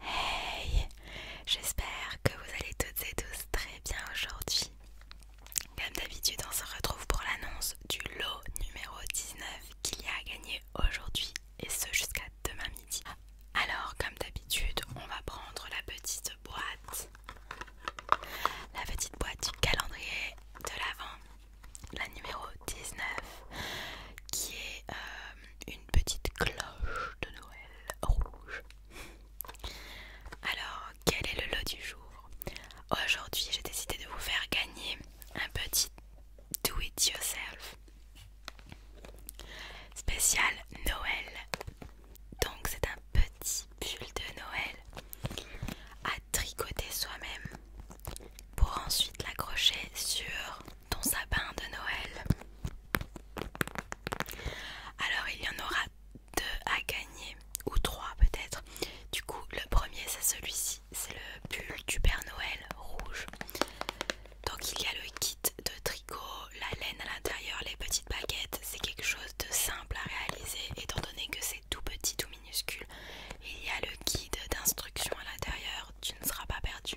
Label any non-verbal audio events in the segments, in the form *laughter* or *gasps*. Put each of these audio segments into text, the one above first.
Hey J'espère que vous allez toutes et tous très bien aujourd'hui. Comme d'habitude, on se retrouve pour l'annonce du lot numéro 19 qu'il y a à gagner aujourd'hui et ce jusqu'à demain midi. Alors, comme d'habitude, on va prendre la petite boîte, la petite boîte du calendrier de l'avant la numéro 19 qui est euh, une petite cloche de Noël rouge. Alors, quel est le lot du jour Aujourd'hui, j'ai décidé de vous faire gagner un petit do it yourself spécial Noël. Donc, c'est un petit pull de Noël à tricoter soi-même pour ensuite l'accrocher sur ton sapin de Noël. Alors il y en aura deux à gagner, ou trois peut-être. Du coup, le premier c'est celui-ci, c'est le pull du Père Noël rouge. Donc il y a le kit de tricot, la laine à l'intérieur, les petites baguettes. C'est quelque chose de simple à réaliser étant donné que c'est tout petit, tout minuscule. Il y a le guide d'instruction à l'intérieur tu ne seras pas perdu.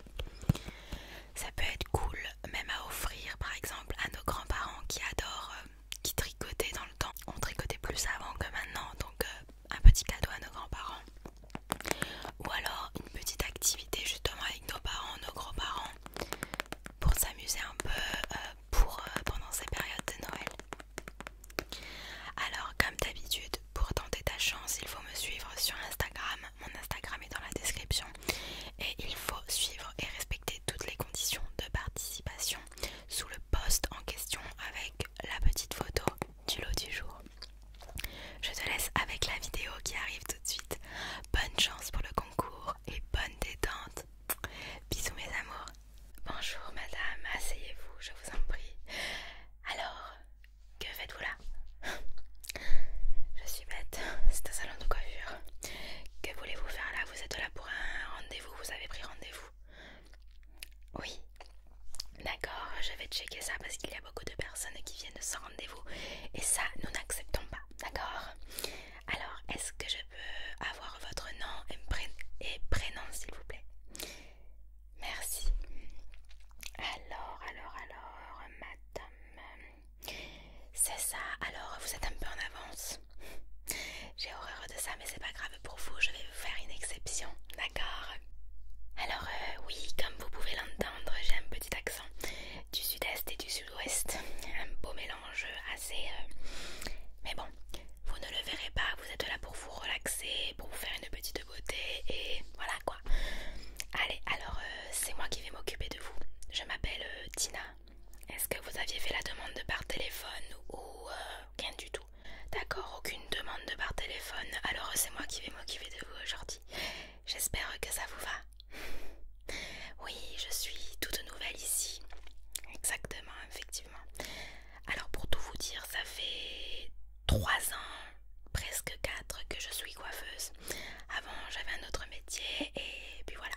Ça peut être cool même à offrir par exemple à nos grands-parents qui adorent, euh, qui tricotaient dans le temps. On tricotait plus avant que maintenant, donc euh, un petit cadeau à nos grands-parents. Ou alors une petite activité justement avec nos parents, nos grands-parents, pour s'amuser un peu euh, pour, pendant ces périodes de Noël. Alors comme d'habitude pour tenter ta chance il faut me suivre sur Instagram, mon Instagram est dans la description et il faut suivre et respecter toutes les conditions de participation sous le post en question avec la petite photo du lot du jour. Je te laisse avec la vidéo qui arrive tout de suite. Bonne chance pour le concours et bonne détente. Bisous mes amours. Bonjour madame, asseyez-vous, je vous en prie. Alors, que faites-vous là Je suis bête, c'est un salon de coiffure. Que voulez-vous faire là Vous êtes là pour un rendez-vous, vous avez pris rendez-vous Oui. D'accord, je vais checker ça parce qu'il y a beaucoup de personnes qui viennent sans rendez-vous et ça nous n'acceptons pas, d'accord Alors, est-ce que je peux avoir votre nom et prénom s'il vous plaît Merci. Alors, alors, alors, madame. C'est ça, alors vous êtes un peu en avance. J'ai horreur de ça, mais c'est pas grave pour vous, je vais vous faire une exception, d'accord Alors, euh, oui, comme vous pouvez l'entendre, j'ai un petit accent du sud-est et du sud-ouest. Un beau mélange assez. Euh, mais bon, vous ne le verrez pas, vous êtes là pour vous relaxer, pour vous faire une petite et voilà quoi. Allez, alors euh, c'est moi qui vais m'occuper de vous. Je m'appelle euh, Tina. Est-ce que vous aviez fait la demande par téléphone ou euh, rien du tout D'accord, aucune demande par téléphone. Alors c'est moi qui vais m'occuper de vous aujourd'hui. J'espère que ça vous va. *laughs* Oui, je suis toute nouvelle ici. Exactement, effectivement. Alors pour tout vous dire, ça fait 3 ans, presque 4 que je suis coiffeuse. Avant j'avais un autre métier et puis voilà.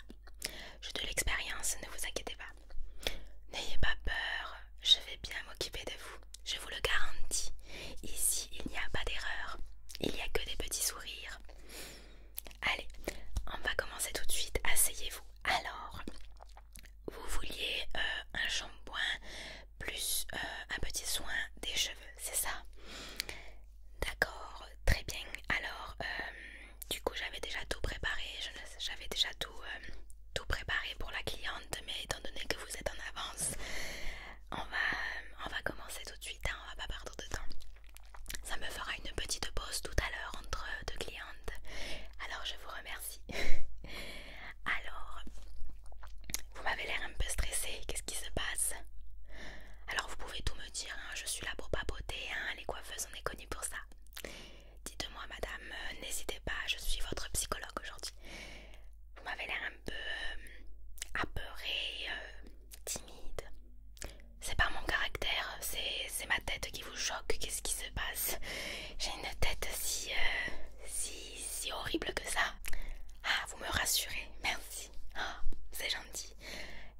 J'ai de l'expérience, ne vous inquiétez pas. N'ayez pas peur, je vais bien m'occuper de vous, je vous le garantis. Ici il n'y a pas d'erreur, il n'y a que des petits sourires. Allez, on va commencer tout de suite, asseyez-vous. Alors, vous vouliez euh, un shampoing plus euh, un petit soin des cheveux, c'est ça D'accord, très bien. Alors, euh, du coup, j'avais déjà tout préparé, j'avais déjà euh, tout, préparé pour la cliente, mais étant donné que vous êtes en avance, on va, on va commencer tout de suite, hein, on va pas perdre de temps. Ça me fera une petite pause tout à l'heure entre deux clientes. Alors, je vous remercie. *laughs* Alors, vous m'avez l'air un peu stressée, qu'est-ce qui se passe Alors vous pouvez tout me dire, hein, je suis là pour papoter, beauté, hein, les coiffeuses on est connues pour ça. Dites-moi madame, euh, n'hésitez pas, je suis votre psychologue aujourd'hui. Vous m'avez l'air un peu euh, apeurée, euh, timide. C'est pas mon caractère, c'est ma tête qui vous choque, qu'est-ce qui se passe J'ai une tête si... si si horrible que ça. Ah, vous me rassurez, merci. Ah, c'est gentil.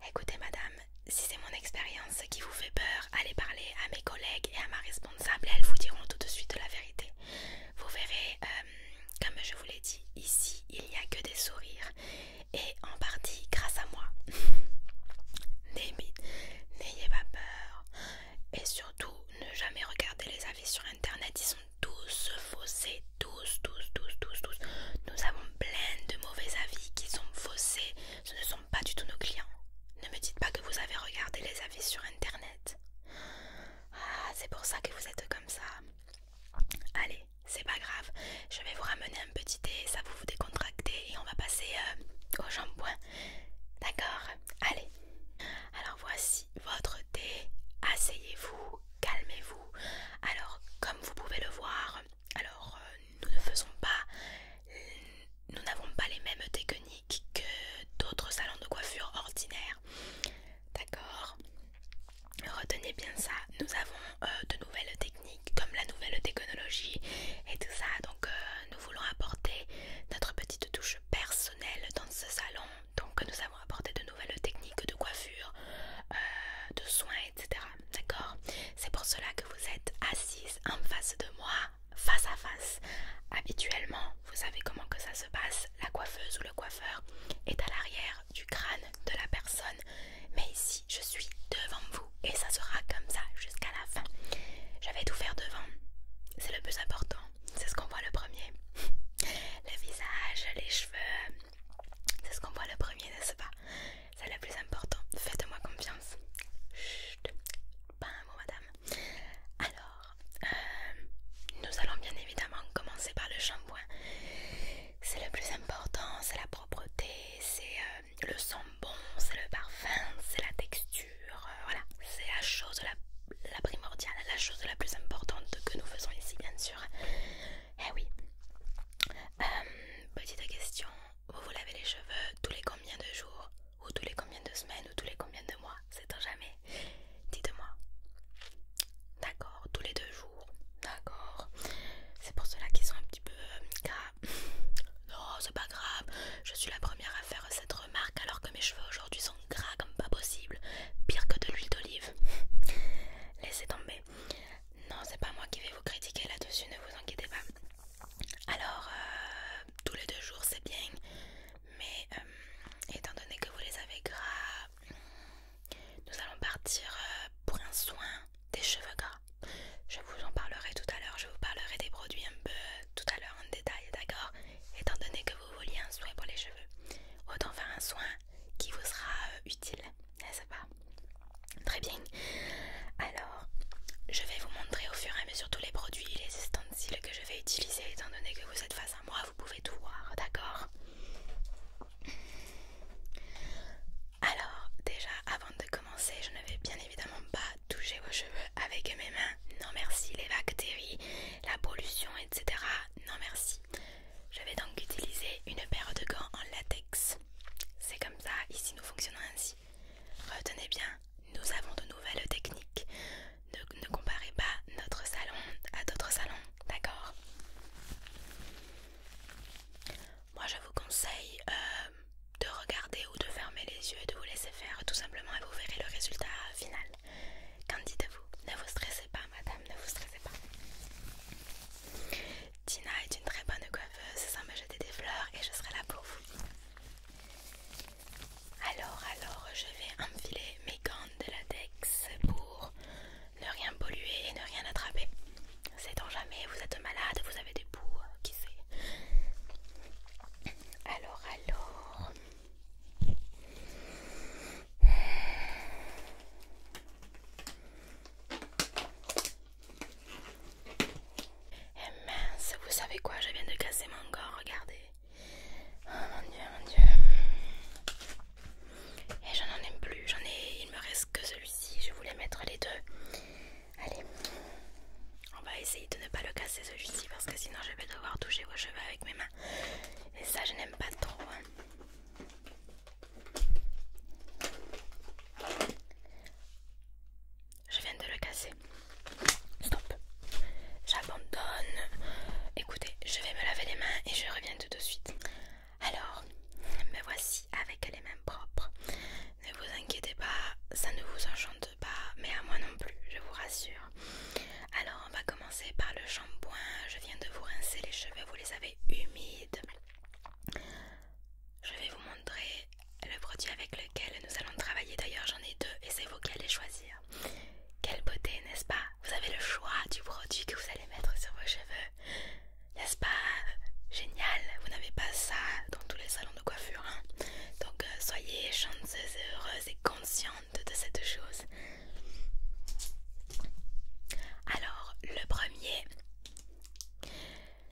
Écoutez, madame, si c'est mon expérience qui vous fait peur, allez parler à mes collègues et à ma responsable. Elles vous diront tout de suite la vérité. Vous verrez, euh, comme je vous l'ai dit, ici, il n'y a que des sourires. Et en partie grâce à moi. *laughs* N'ayez pas peur et surtout ne jamais regarder les avis sur internet, ils sont tous faussés, tous, tous, tous, tous, tous. Nous avons plein de mauvais avis qui sont faussés, ce ne sont pas du tout nos clients. Ne me dites pas que vous avez regardé les avis sur internet. Ah, c'est pour ça que vous êtes comme ça. Allez, c'est pas grave, je vais vous ramener un petit thé, ça vous vous décontractez et on va passer euh, au shampoing. D'accord Allez, alors voici votre thé. Asseyez-vous, calmez-vous. Alors comme vous pouvez le voir, alors euh, nous ne faisons pas, nous n'avons pas les mêmes techniques que d'autres salons de coiffure ordinaires. D'accord Retenez bien ça. Nous avons euh, de nouvelles techniques comme la nouvelle technologie et tout ça. Donc euh, nous voulons apporter notre petite touche Personnel dans ce salon. Donc nous avons apporté de nouvelles techniques de coiffure, euh, de soins, etc. D'accord C'est pour cela que vous êtes assise en face de moi, face à face. Habituellement, vous savez comment que ça se passe, la coiffeuse ou le coiffeur est à l'arrière du crâne de la personne. Mais ici, je suis devant vous et ça sera comme ça jusqu'à la fin. Je vais tout faire devant. C'est le plus important c'est ce qu'on voit le premier. *laughs* le visage, les cheveux, c'est ce qu'on voit le premier, n'est-ce pas C'est le plus important. Faites-moi confiance. Chut, pas un mot, madame. Alors, euh, nous allons bien évidemment commencer par le shampoing. C'est le plus important, c'est la propreté, c'est euh, le son bon, c'est le parfum, c'est la texture euh, voilà, c'est la chose la, primordiale, la chose la plus importante que nous faisons ici, bien sûr. Eh oui. Euh, petite question, vous vous lavez les cheveux tous les combien de jours ou tous les combien de semaines ou tous les combien de mois C'est à jamais. Dites-moi. D'accord, tous les deux jours. D'accord. C'est pour cela qu'ils sont un petit peu... Euh, non, c'est pas grave. Je suis la première à faire cette remarque alors que mes cheveux aujourd'hui sont gras comme pas possible, pire que de l'huile d'olive. *laughs* Laissez tomber. Non, c'est pas moi qui vais vous critiquer là-dessus, ne vous inquiétez pas. Alors, euh, tous les deux jours c'est bien, mais euh, étant donné que vous les avez gras, nous allons partir euh, pour un soin des cheveux gras. Je vous en parlerai tout à l'heure, je vous parlerai des produits un peu tout à l'heure en détail, d'accord étant donné que vous vouliez un soin pour les cheveux, autant faire un soin qui vous sera euh, utile, n'est-ce pas Très bien. Alors, je vais vous montrer au fur et à mesure tous les produits et les ustensiles que je vais utiliser, étant donné que vous êtes face à moi, vous pouvez tout voir, d'accord alors, déjà avant de commencer, je ne vais bien évidemment pas toucher vos cheveux avec mes mains. Non merci, les bactéries, la pollution, etc. Non merci. Je vais donc utiliser une paire de gants en latex. C'est comme ça, ici nous fonctionnons ainsi. Retenez bien, nous avons de nouvelles techniques. Ne, comparez pas notre salon à d'autres salons, d'accord Moi je vous conseille euh, de regarder ou de fermer les yeux et de vous laisser faire tout simplement et vous verrez le résultat final. Qu'en dites-vous Ne vous stressez pas madame, ne vous stressez pas. Tina est une très bonne coiffeuse sans me jeter des fleurs et je serai là pour vous. Alors, alors, je vais enfiler mes gants de latex pour ne rien polluer et ne rien attraper. C'est on jamais, vous êtes malade, vous avez des poux, qui sait alors, alors. Eh mince, vous savez quoi Je viens de casser mon corps, regardez. Oh mon dieu, mon dieu. Et eh, j'en n'en aime plus, j'en ai. Il me reste que celui-ci. Je voulais mettre les deux. Allez. On va essayer de ne pas le casser celui-ci parce que sinon je vais devoir toucher vos cheveux avec mes mains. Et ça je n'aime pas trop. Hein. Je viens de le casser. Stop. J'abandonne. Écoutez, je vais me laver les mains et je reviens tout de suite. Alors, me voici avec les mains propres. Ne vous inquiétez pas, ça ne vous enchante pas, mais à moi non plus, je vous rassure. Alors, on va commencer par le shampoing. Je viens de vous rincer les cheveux, vous les avez humides. Je vais vous montrer le produit avec lequel nous allons travailler. D'ailleurs, j'en ai deux et c'est vous qui allez choisir. Quelle beauté, n'est-ce pas Vous avez le choix du produit que vous allez mettre sur vos cheveux. N'est-ce pas Génial Vous n'avez pas ça dans tous les salons de coiffure. Hein. Donc euh, soyez chanceuse et heureuse et consciente de cette chose. Alors le premier,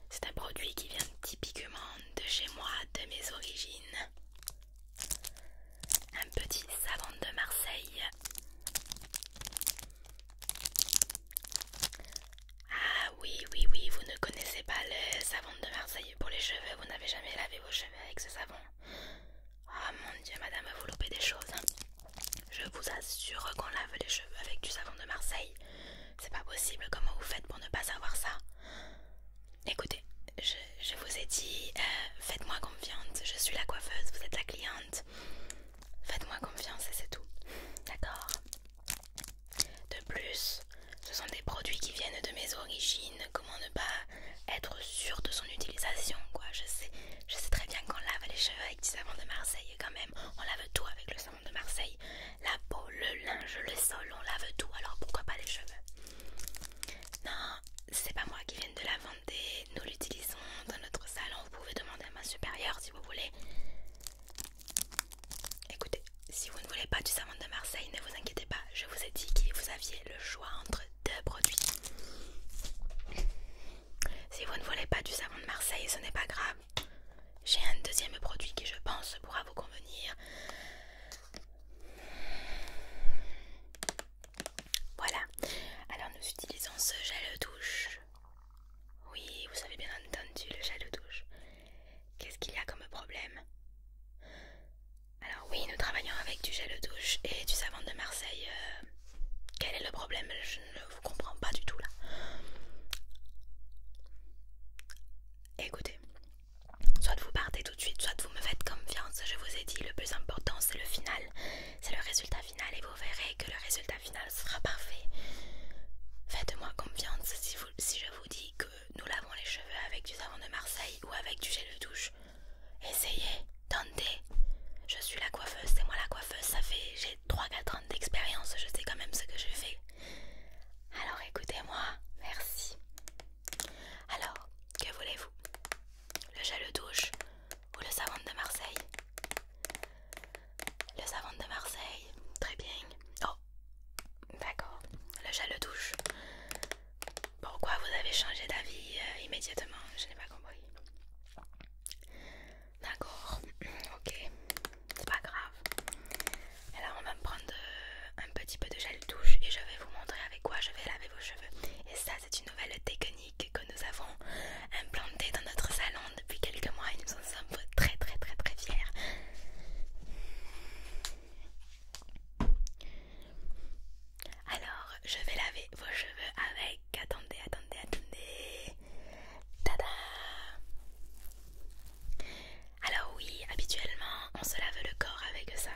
c'est un produit qui vient typiquement de chez moi, de mes origines. Un petit savon de Marseille. Ah oui, oui, oui, vous ne connaissez pas le savon de Marseille pour les cheveux. Vous n'avez jamais lavé vos cheveux avec ce savon. oh, mon dieu, madame, vous loupez des choses. Hein. Je vous assure qu'on lave les cheveux avec du savon de Marseille. C'est pas possible, comment vous faites pour ne pas savoir ça Écoutez, je, vous ai dit, euh, faites-moi confiance, je suis la coiffeuse, vous êtes la cliente. Faites-moi confiance et c'est tout. D'accord de plus, ce sont des produits qui viennent de mes origines. Comment ne pas être sûr de son utilisation quoi je sais, je sais très bien qu'on lave les cheveux avec du savon de Marseille quand même. On lave tout avec le savon de Marseille. La peau, le linge, le sol, on lave tout. Alors pourquoi pas les cheveux Non, c'est pas moi qui viens de la Nous l'utilisons dans notre salon. Vous pouvez demander à ma supérieure si vous voulez. Écoutez, si vous ne voulez pas du savon de Marseille, ne vous inquiétez pas, je vous ai dit que vous aviez le choix entre deux produits. Si vous ne voulez pas du savon de Marseille, ce n'est pas grave. J'ai un deuxième produit qui je pense pourra vous convenir. Voilà. Alors nous utilisons ce gel douche. Oui, vous avez bien entendu le gel douche. Qu'est-ce qu'il y a comme problème Alors oui, nous travaillons avec du gel de douche et du savon de Marseille. Euh. quel est le problème Je ne vous comprends pas du tout là. Écoutez, soit vous partez tout de suite, soit vous me faites confiance. Je vous ai dit, le plus important c'est le final. C'est le résultat final et vous verrez que le résultat final sera parfait. Faites-moi confiance si je vous dis que nous lavons les cheveux avec du savon de Marseille ou avec du gel de douche. Essayez, tentez. Je suis la coiffeuse, c'est moi la coiffeuse, ça fait j'ai 3-4 ans d'expérience, je sais quand même ce que je fais. Alors écoutez-moi, merci. Alors, que voulez-vous Le gel de douche ou le savon de Marseille Le savon de Marseille, très bien. Oh, D'accord, le gel douche. Pourquoi vous avez changé d'avis euh, immédiatement Je n'ai pas compris. D'accord, *clears throat* ok, c'est pas grave. Alors on va me prendre euh, un petit peu de gel douche et je vais vous montrer avec quoi je vais laver vos cheveux. Et ça, c'est une nouvelle technique que nous avons implantée dans notre salon depuis quelques mois et nous en sommes très, très, très, très fiers. Alors, je vais laver vos cheveux avec. Attendez, attendez, attendez. Tada Alors oui, habituellement, on se lave le corps avec ça.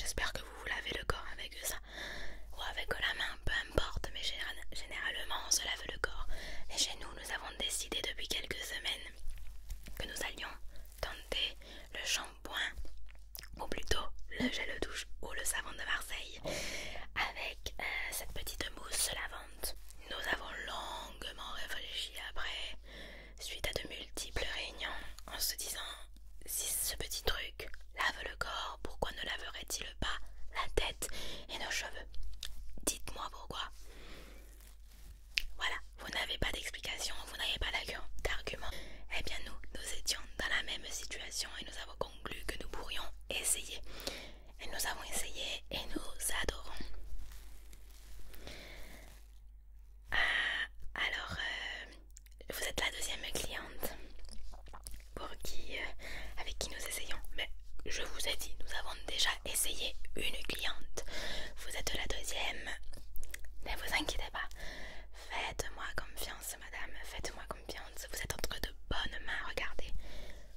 J'espère que vous vous lavez le corps avec ça. Ou avec la main, peu importe, mais généralement, on se lave le corps. Et chez nous, nous avons décidé depuis quelques semaines que nous allions tenter le shampoing ou plutôt le gel douche ou le savon de Marseille avec euh, cette petite mousse lavante. Nous avons longuement réfléchi après, suite à de multiples réunions, en se disant si ce petit truc lave le corps, pourquoi ne laverait-il pas la tête et nos cheveux Dites-moi pourquoi. Voilà, vous n'avez pas d'explication, vous n'avez pas d'argument. Eh bien nous, nous étions dans la même situation et nous avons conclu que nous pourrions essayer. Et nous avons essayé et nous adorons. Ah, alors, euh, vous êtes la deuxième cliente pour qui, euh, avec qui nous essayons. Mais je vous ai dit, nous avons déjà essayez une cliente, vous êtes la deuxième. Ne vous inquiétez pas, faites-moi confiance, madame, faites-moi confiance. Vous êtes entre de bonnes mains, regardez.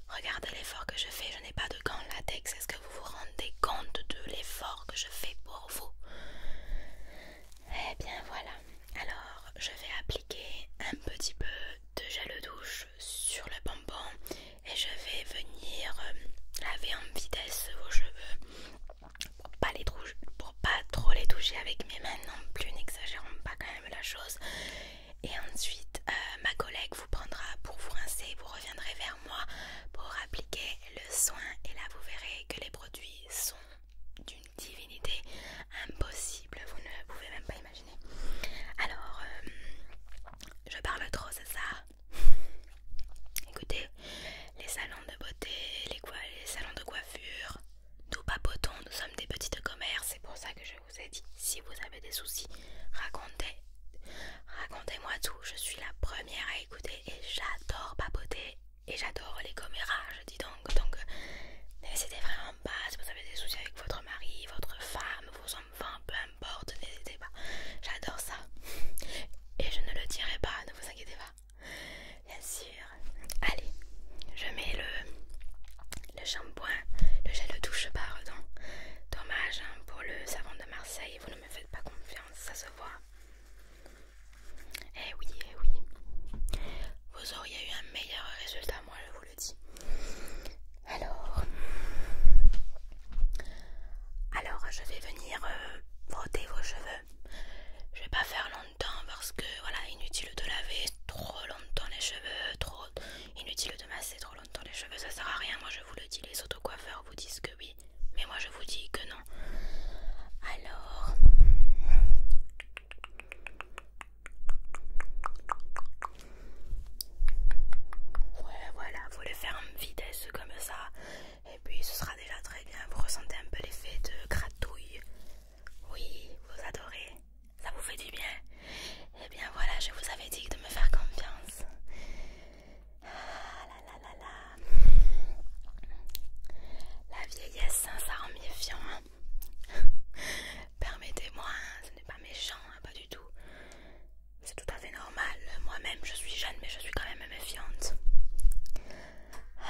Regardez l'effort que je fais, je n'ai pas de gants latex. Est-ce que vous vous rendez compte de l'effort que je fais pour vous Eh bien voilà, alors je vais appliquer un petit peu de gel douche sur le bonbon et je vais venir euh, laver en vitesse vos cheveux pour pas les pour pas trop les toucher avec mes mains non plus, n'exagérons pas quand même la chose. Et ensuite, euh, ma collègue vous prendra pour vous rincer, vous reviendrez vers moi pour appliquer le soin et là vous verrez que les produits sont d'une divinité impossible, vous ne pouvez même pas imaginer. Alors, euh, je parle trop, c'est ça Écoutez, les salons de beauté, les, salons de coiffure, nous papotons, nous sommes des petites commerces, c'est pour ça que je vous ai dit, si vous avez des soucis, racontez, racontez-moi tout, je suis la première à écouter et j'adore papoter et j'adore les commérages, je dis donc, donc c'était vraiment pas si vous avez des soucis avec votre mari, votre femme, vos enfants, peu n'hésitez pas. J'adore ça. Et je ne le dirai pas, ne vous inquiétez pas. Bien sûr. Allez, je mets le, le shampoing, le gel de douche par dedans. Dommage hein, pour le savon de Marseille, vous ne me faites pas confiance, ça se voit. Eh oui, eh oui. Vous auriez eu un meilleur résultat, moi je vous le dis. Alors, alors je vais venir euh, frotter vos cheveux. Je vais pas faire longtemps parce que voilà, inutile de laver trop longtemps les cheveux, trop inutile de masser trop longtemps les cheveux, ça sert à rien. Moi je vous le dis, les auto-coiffeurs vous disent que oui, mais moi je vous dis que non. Alors Ouais, voilà, vous le faire en vitesse comme ça. Et puis ce sera déjà très bien. Vous ressentez un peu l'effet de gratouille. Oui, vous adorez. Ça vous fait du bien. Et eh bien voilà, je vous avais dit de me faire confiance. Ah, La vieillesse, hein, ça rend méfiant. Hein. *laughs* Permettez-moi, hein, ce n'est pas méchant, pas du tout. C'est tout à fait normal. Moi-même, je suis jeune, mais je suis quand même méfiante.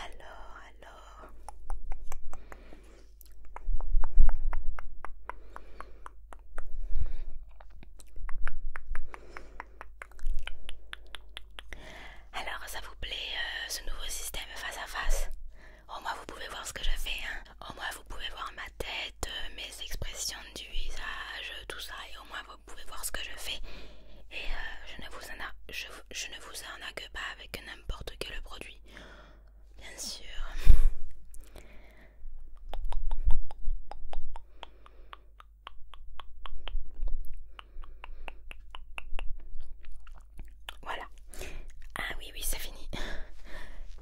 Alors, alors. Alors, ça vous plaît euh, ce nouveau système face à face Au moins, vous pouvez voir ce que je fais. Hein. Au moins, vous pouvez voir ma tête, euh, mes expressions du visage, tout ça, et au moins vous pouvez voir ce que je fais. Et euh, je, ne vous en a, je, ne vous pas avec n'importe quel produit, bien sûr. Voilà. Ah oui, oui, c'est fini.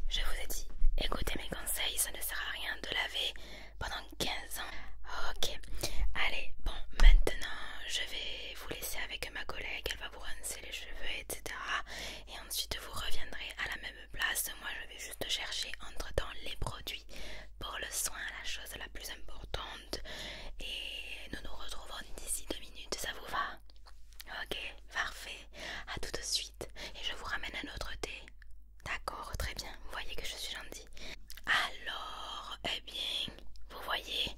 Je vous ai dit, écoutez mes conseils, ça ne sert à rien de laver pendant 15 ans. Ok, allez, bon, maintenant je vais vous laisser avec ma collègue, elle va vous rincer les cheveux, etc. Et ensuite vous reviendrez à la même place. Moi je vais juste chercher entre temps les produits pour le soin, la chose la plus importante. Et nous nous retrouvons d'ici deux minutes, ça vous va Ok, parfait, à tout de suite et je vous ramène un autre thé. D'accord, très bien. Vous voyez que je suis gentille. Alors, eh bien, vous voyez,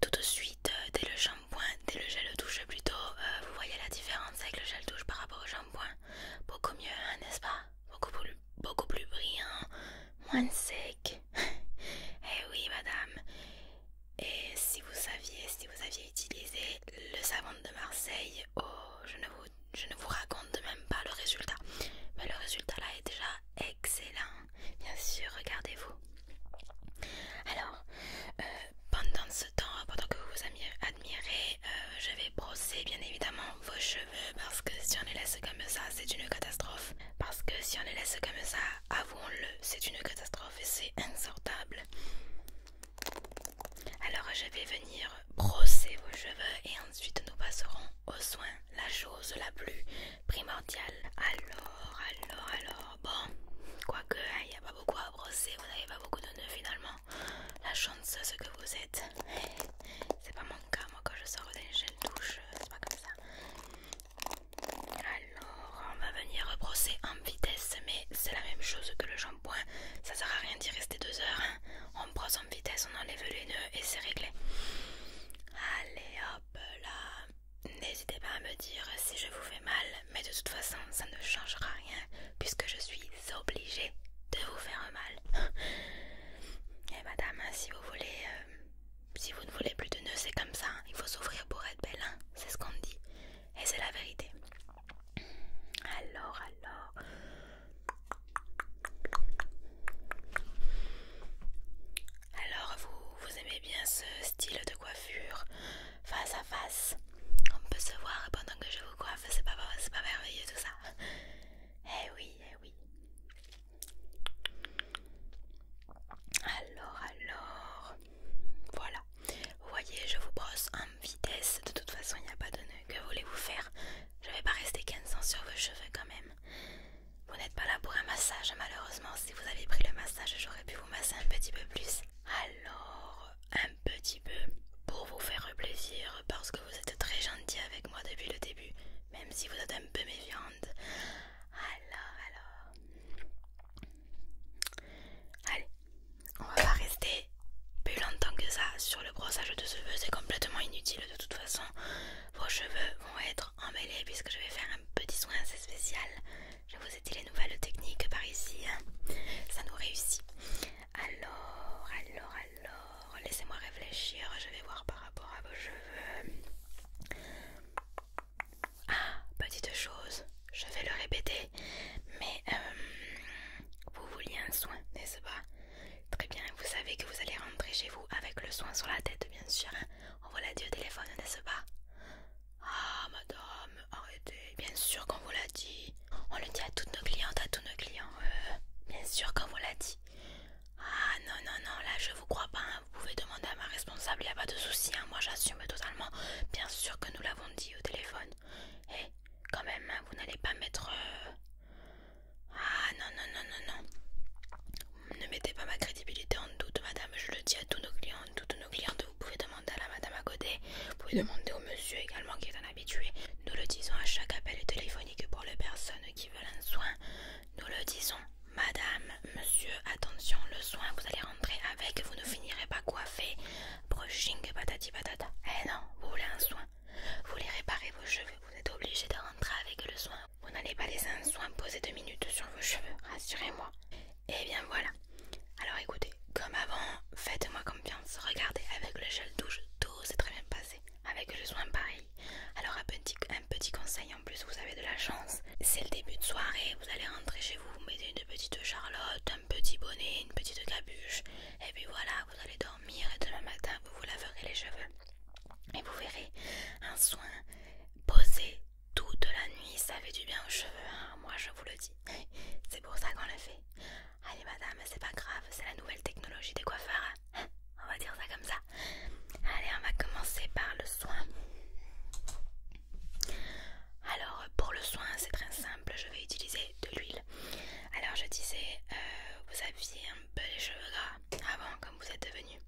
tout de suite, euh, dès le shampoing, dès le gel douche plutôt, euh, vous voyez la différence avec le gel douche par rapport au shampoing. Beaucoup mieux, hein, n'est-ce pas beaucoup plus, beaucoup plus brillant, moins sec. *laughs* eh oui, madame. Et si vous saviez, si vous aviez utilisé le savon de Marseille, oh, je ne vous je ne vous raconte même pas le résultat. Mais le résultat là est déjà excellent. Bien sûr, regardez-vous. Alors, euh, pendant ce temps, pendant que vous vous admirez, euh, je vais brosser bien évidemment vos cheveux parce que si on les laisse comme ça, c'est une catastrophe. Parce que si on les laisse comme ça, avouons-le, c'est une catastrophe et c'est insortable. Alors je vais venir brosser vos cheveux et ensuite nous passerons aux soins, la chose la plus primordiale. Alors, alors, alors, bon, quoique hein, il n'y a pas beaucoup à brosser, vous n'avez pas beaucoup de noeuds finalement. La chance, ce que vous êtes, *laughs* c'est pas mon cas, moi quand je sors d'un gel douche, euh, c'est pas comme ça. Alors, on va venir brosser en vitesse, mais c'est la même chose que le ça sert à rien d'y rester deux heures. Hein. On prend son vitesse, on enlève les nœuds et c'est réglé. Allez hop là. N'hésitez pas à me dire si je vous fais mal, mais de toute façon, ça ne changera rien puisque je suis obligée de vous faire mal. *gasps* et eh, madame, hein, si vous voulez, euh, si vous ne voulez plus de nœuds, c'est comme ça. Hein. Il faut s'ouvrir pour être belle, c'est ce qu'on dit et c'est la vérité. Alors, alors. Alors, vous, aimez bien ce style de coiffure face à face On peut se voir pendant que je vous coiffe, c'est pas, pas merveilleux tout ça Eh oui, eh oui. Alors, alors. Voilà. Vous voyez, je vous brosse un vitesse, de toute façon il n'y a pas de nœud. Que voulez-vous faire Je vais pas rester 15 ans sur vos cheveux quand même. Vous n'êtes pas là pour un massage, malheureusement. Si vous avez pris le massage, j'aurais pu vous masser un petit peu plus. Alors, un petit peu pour vous faire plaisir, parce que vous êtes très gentil avec moi depuis le début, même si vous êtes un peu méfiante. Alors, alors. Allez, on va pas rester plus longtemps que ça sur le brossage de cheveux, c'est complètement inutile de toute façon. Vos cheveux vont être emmêlés puisque je vais faire un petit soin assez spécial. Je vous ai dit les nouvelles techniques par ici, hein. ça nous réussit. Alors, alors, alors, laissez-moi réfléchir, je vais voir par rapport à vos cheveux. Ah, petite chose, je vais le répéter, mais euh, vous vouliez un soin, n'est-ce pas Très bien, vous savez que vous allez rentrer chez vous avec le soin sur la tête, bien sûr. Hein. on vous l'a dit au téléphone, n'est-ce pas Ah, madame, arrêtez. Bien sûr qu'on vous l'a dit. On le dit à toutes nos clientes, à tous nos clients. Euh, bien sûr qu'on vous l'a dit. Ah non, non, non, là je vous crois pas. Hein. Vous pouvez demander à ma responsable, il n'y a pas de souci. Hein. Moi j'assume totalement. Bien sûr que nous l'avons dit au téléphone. Eh, quand même, hein, vous n'allez pas mettre... Euh, ah non, non, non, non, non. Ne mettez pas ma crédibilité en doute, madame. Je le dis à tous nos clients, à toutes nos clientes. Vous pouvez demander à la madame à côté. Vous pouvez demander au monsieur également qui est un habitué. Nous le disons à chaque appel téléphonique pour les personnes qui veulent un soin. Nous le disons. Madame, monsieur, attention, le soin, vous allez rentrer avec, vous ne finirez pas coiffé brushing patati patata. Eh non, vous voulez un soin, vous voulez réparer vos cheveux, vous êtes obligé de rentrer avec le soin. Vous n'allez pas laisser un soin poser deux minutes sur vos cheveux, rassurez-moi. Et eh bien voilà. Alors écoutez, comme avant, faites-moi confiance. Regardez, avec le gel douche, tout s'est très bien passé. Avec le soin pareil. Alors un petit, un petit conseil en plus, vous avez de la chance. C'est le début de soirée, vous allez rentrer chez vous, vous mettez une petite charlotte, petit bonnet, une petite cabuche, et puis voilà, vous allez dormir et demain matin vous vous laverez les cheveux. Et vous verrez un soin posé toute la nuit, ça fait du bien aux cheveux, hein. moi je vous le dis. *laughs* C'est pour ça qu'on le fait. Allez madame, c'est pas grave, c'est la nouvelle technologie des coiffeurs. Hein. *laughs* on va dire ça comme ça. Allez, on va commencer par le soin. Alors pour le soin c'est très simple, je vais utiliser de l'huile. Alors je disais, euh, vous aviez un peu les cheveux gras avant comme vous êtes devenu.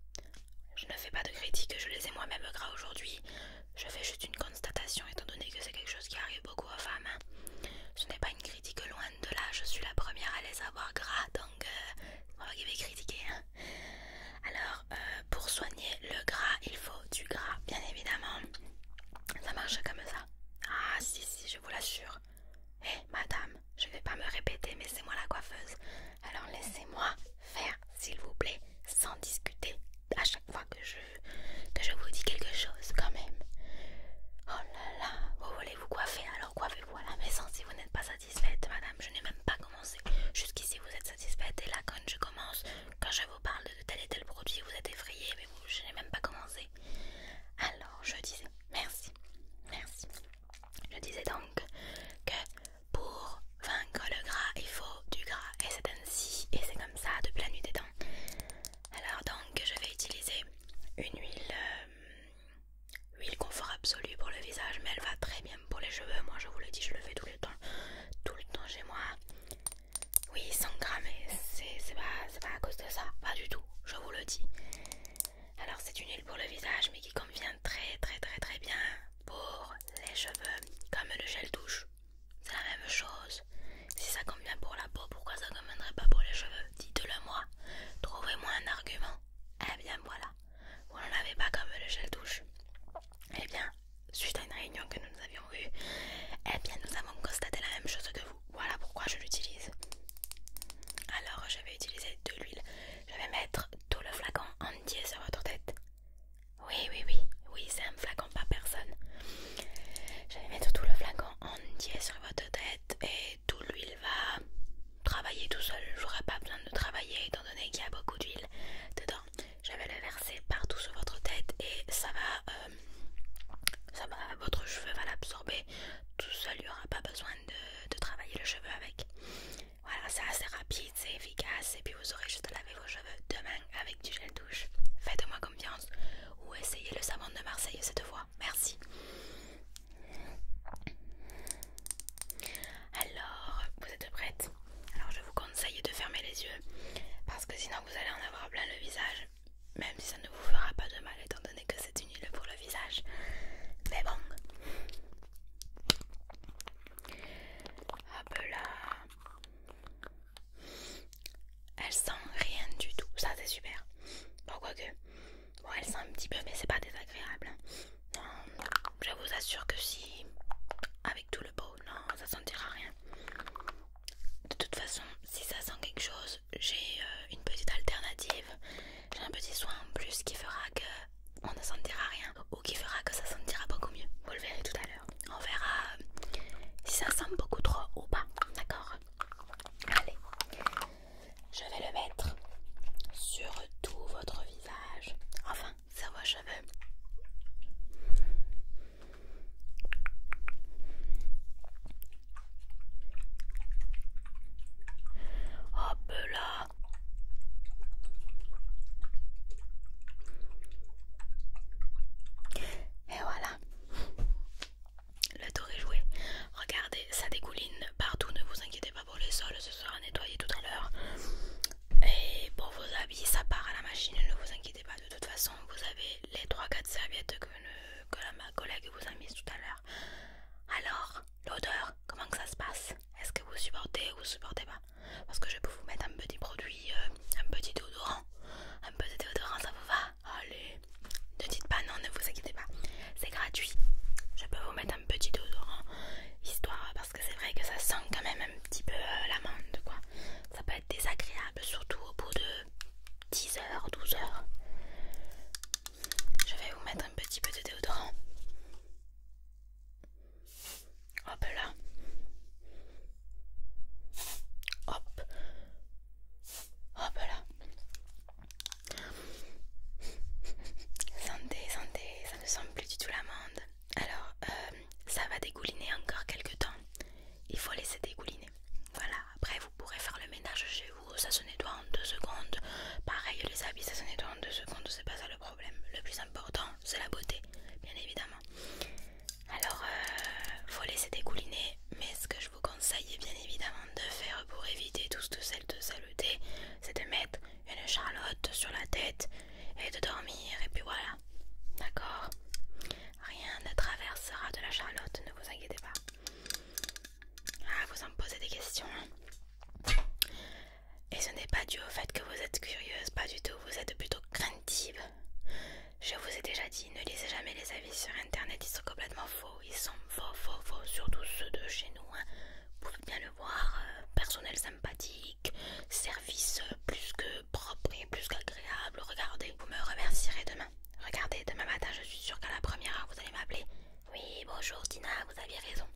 Je ne fais pas de critique, je les ai moi-même gras aujourd'hui. Je fais juste une constatation étant donné que c'est quelque chose qui arrive beaucoup aux femmes. Hein. Ce n'est pas une critique loin de là, je suis la première à les avoir gras donc euh, on va critiquer. Hein. Alors euh, pour soigner le gras il faut du gras bien évidemment. Ça marche comme ça. Ah si si, je vous l'assure. Eh madame, je vais pas me répéter, mais c'est moi la coiffeuse. Alors laissez-moi faire, s'il vous plaît, sans discuter à chaque fois que je, que je vous dis quelque chose quand même. Oh là là, vous voulez vous coiffer, alors coiffez-vous à la maison si vous n'êtes pas satisfaite, madame. Je n'ai même pas commencé. Jusqu'ici, vous êtes satisfaite et là, quand je commence, quand je vous parle de tel et tel produit, vous êtes effrayée je n'ai même pas commencé. Alors, je disais, merci, merci. Je disais donc que pour vaincre le gras, il faut du gras. Et c'est ainsi, et c'est comme ça de la nuit des dents Alors donc, je vais utiliser une huile, euh, huile confort absolue pour le visage, mais elle va très bien pour les cheveux. Moi, je vous le dis, je le fais tout le temps, tout le temps chez moi. Oui, 100 grammes, c'est pas, pas à cause de ça, pas du tout, je vous le dis. Alors, c'est une huile pour le visage, mais qui convient très, très, très, très bien pour les cheveux, comme le gel douche. C'est la même chose. Si ça convient pour la peau, pourquoi ça ne conviendrait pas pour les cheveux Dites-le moi. Trouvez-moi un argument. Eh bien, voilà. Vous n'en avez pas comme le gel douche. Eh bien, suite à une réunion que nous avions eue, eh bien nous avons constaté la même chose que vous. Voilà pourquoi je l'utilise. Alors je vais utiliser de l'huile. Je vais mettre tout le flacon entier sur votre tête. Oui, oui, oui, oui, c'est un flacon, pas personne. Je vais mettre tout le flacon entier sur votre tête et tout l'huile va travailler tout seul. J'aurai pas besoin de travailler étant donné qu'il y a beaucoup d'huile dedans. Je vais le verser partout sur votre tête et ça va euh, euh, votre cheveu va l'absorber tout seul, il aura pas besoin de, travailler le cheveu avec. Voilà, c'est assez rapide, c'est efficace et puis vous aurez juste à laver vos cheveux demain avec du gel douche. Faites-moi confiance ou essayez le savon de Marseille cette fois. Merci. Alors, vous êtes prête Alors je vous conseille de fermer les yeux parce que sinon vous allez en avoir plein le visage. Même si ça ne vous fera pas de mal étant donné que c'est une huile pour le visage. Mais bon. Hop là. Elle sent rien du tout. Ça c'est super. Pourquoi que Bon elle sent un petit peu mais c'est pas désagréable. je vous assure que si... Avec tout le pot, non, ça sentira rien de toute façon, si ça sent quelque chose, j'ai euh, une petite alternative. J'ai un petit soin en plus qui fera que on ne sentira rien ou qui fera que ça sentira beaucoup mieux. Vous le verrez tout à l'heure. On verra euh, si ça sent beaucoup trop ou pas. D'accord Allez, je vais le mettre sur tout votre visage. Enfin, sur vos cheveux. Hop là Et voilà Le tour est joué Regardez, ça découline partout Ne vous inquiétez pas pour les sols Ce sera nettoyé tout à l'heure Et pour vos habits, ça part à la machine Ne vous inquiétez pas, de toute façon vous avez les 3-4 serviettes que, que ma collègue vous a mises tout à l'heure. Alors, l'odeur, comment que ça se passe Est-ce que vous supportez ou vous supportez pas Parce que je peux vous mettre un petit produit, euh, un petit déodorant. Un petit déodorant, ça vous va Allez, ne dites pas non, ne vous inquiétez pas. C'est gratuit. Je peux vous mettre un petit déodorant, histoire, parce que c'est vrai que ça sent quand même un petit peu euh, l'amande, quoi ça peut être désagréable, surtout au bout de 10 heures, 12 heures. Je vais vous mettre un petit peu de déodorant. Hop là. Hop. Hop là. Santé, santé, ça ne sent plus du tout l'amande. Alors, euh, ça va dégouliner encore quelques temps il faut laisser dégouliner. Voilà, après vous pourrez faire le ménage chez vous, ça se nettoie en deux secondes. Pareil, les habits, ça se nettoie en deux secondes, c'est pas ça le problème. Le plus important, c'est la beauté, bien évidemment. Alors, euh, faut laisser dégouliner, mais ce que je vous conseille, bien évidemment, de faire pour éviter tout de saleté, c'est de mettre une charlotte sur la tête et de dormir, et puis voilà. D'accord Rien ne traversera de la Charlotte, ne vous inquiétez pas. Ah, vous en posez des questions. Hein. Et ce n'est pas dû au fait que vous êtes curieuse, pas du tout, vous êtes plutôt craintive. Je vous ai déjà dit, ne lisez jamais les avis sur internet, ils sont complètement faux, ils sont faux, faux, faux, surtout ceux de chez nous. Hein. Vous pouvez bien le voir, euh, personnel sympathique, service euh, plus que propre et plus qu'agréable. Regardez, vous me remercierez demain. Regardez, demain matin, je suis sûre qu'à la première heure, vous allez m'appeler. Oui, bonjour Dina vous aviez raison.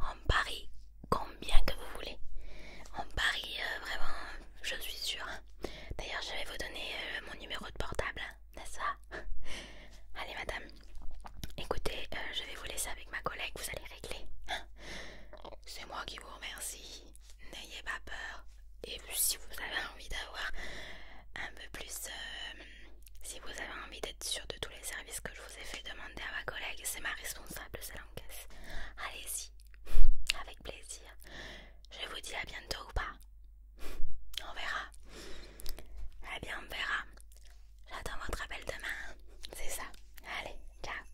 En Paris, combien que vous voulez. En Paris, euh, vraiment, je suis sûre. Hein. D'ailleurs, je vais vous donner euh, mon numéro de portable, hein, n'est-ce pas *laughs* Allez, madame. Écoutez, euh, je vais vous laisser avec ma collègue, vous allez régler. Hein. C'est moi qui vous remercie n'ayez pas peur. Et si vous avez envie d'avoir un peu plus, euh, si vous avez envie d'être sûr de tous les services que je vous ai fait demander à ma collègue, c'est ma responsable, c'est l'encaisse. Allez-y, *laughs* avec plaisir. Je vous dis à bientôt ou pas. *laughs* On verra. Eh bien, on verra. J'attends votre appel demain. Hein. C'est ça. Allez, ciao.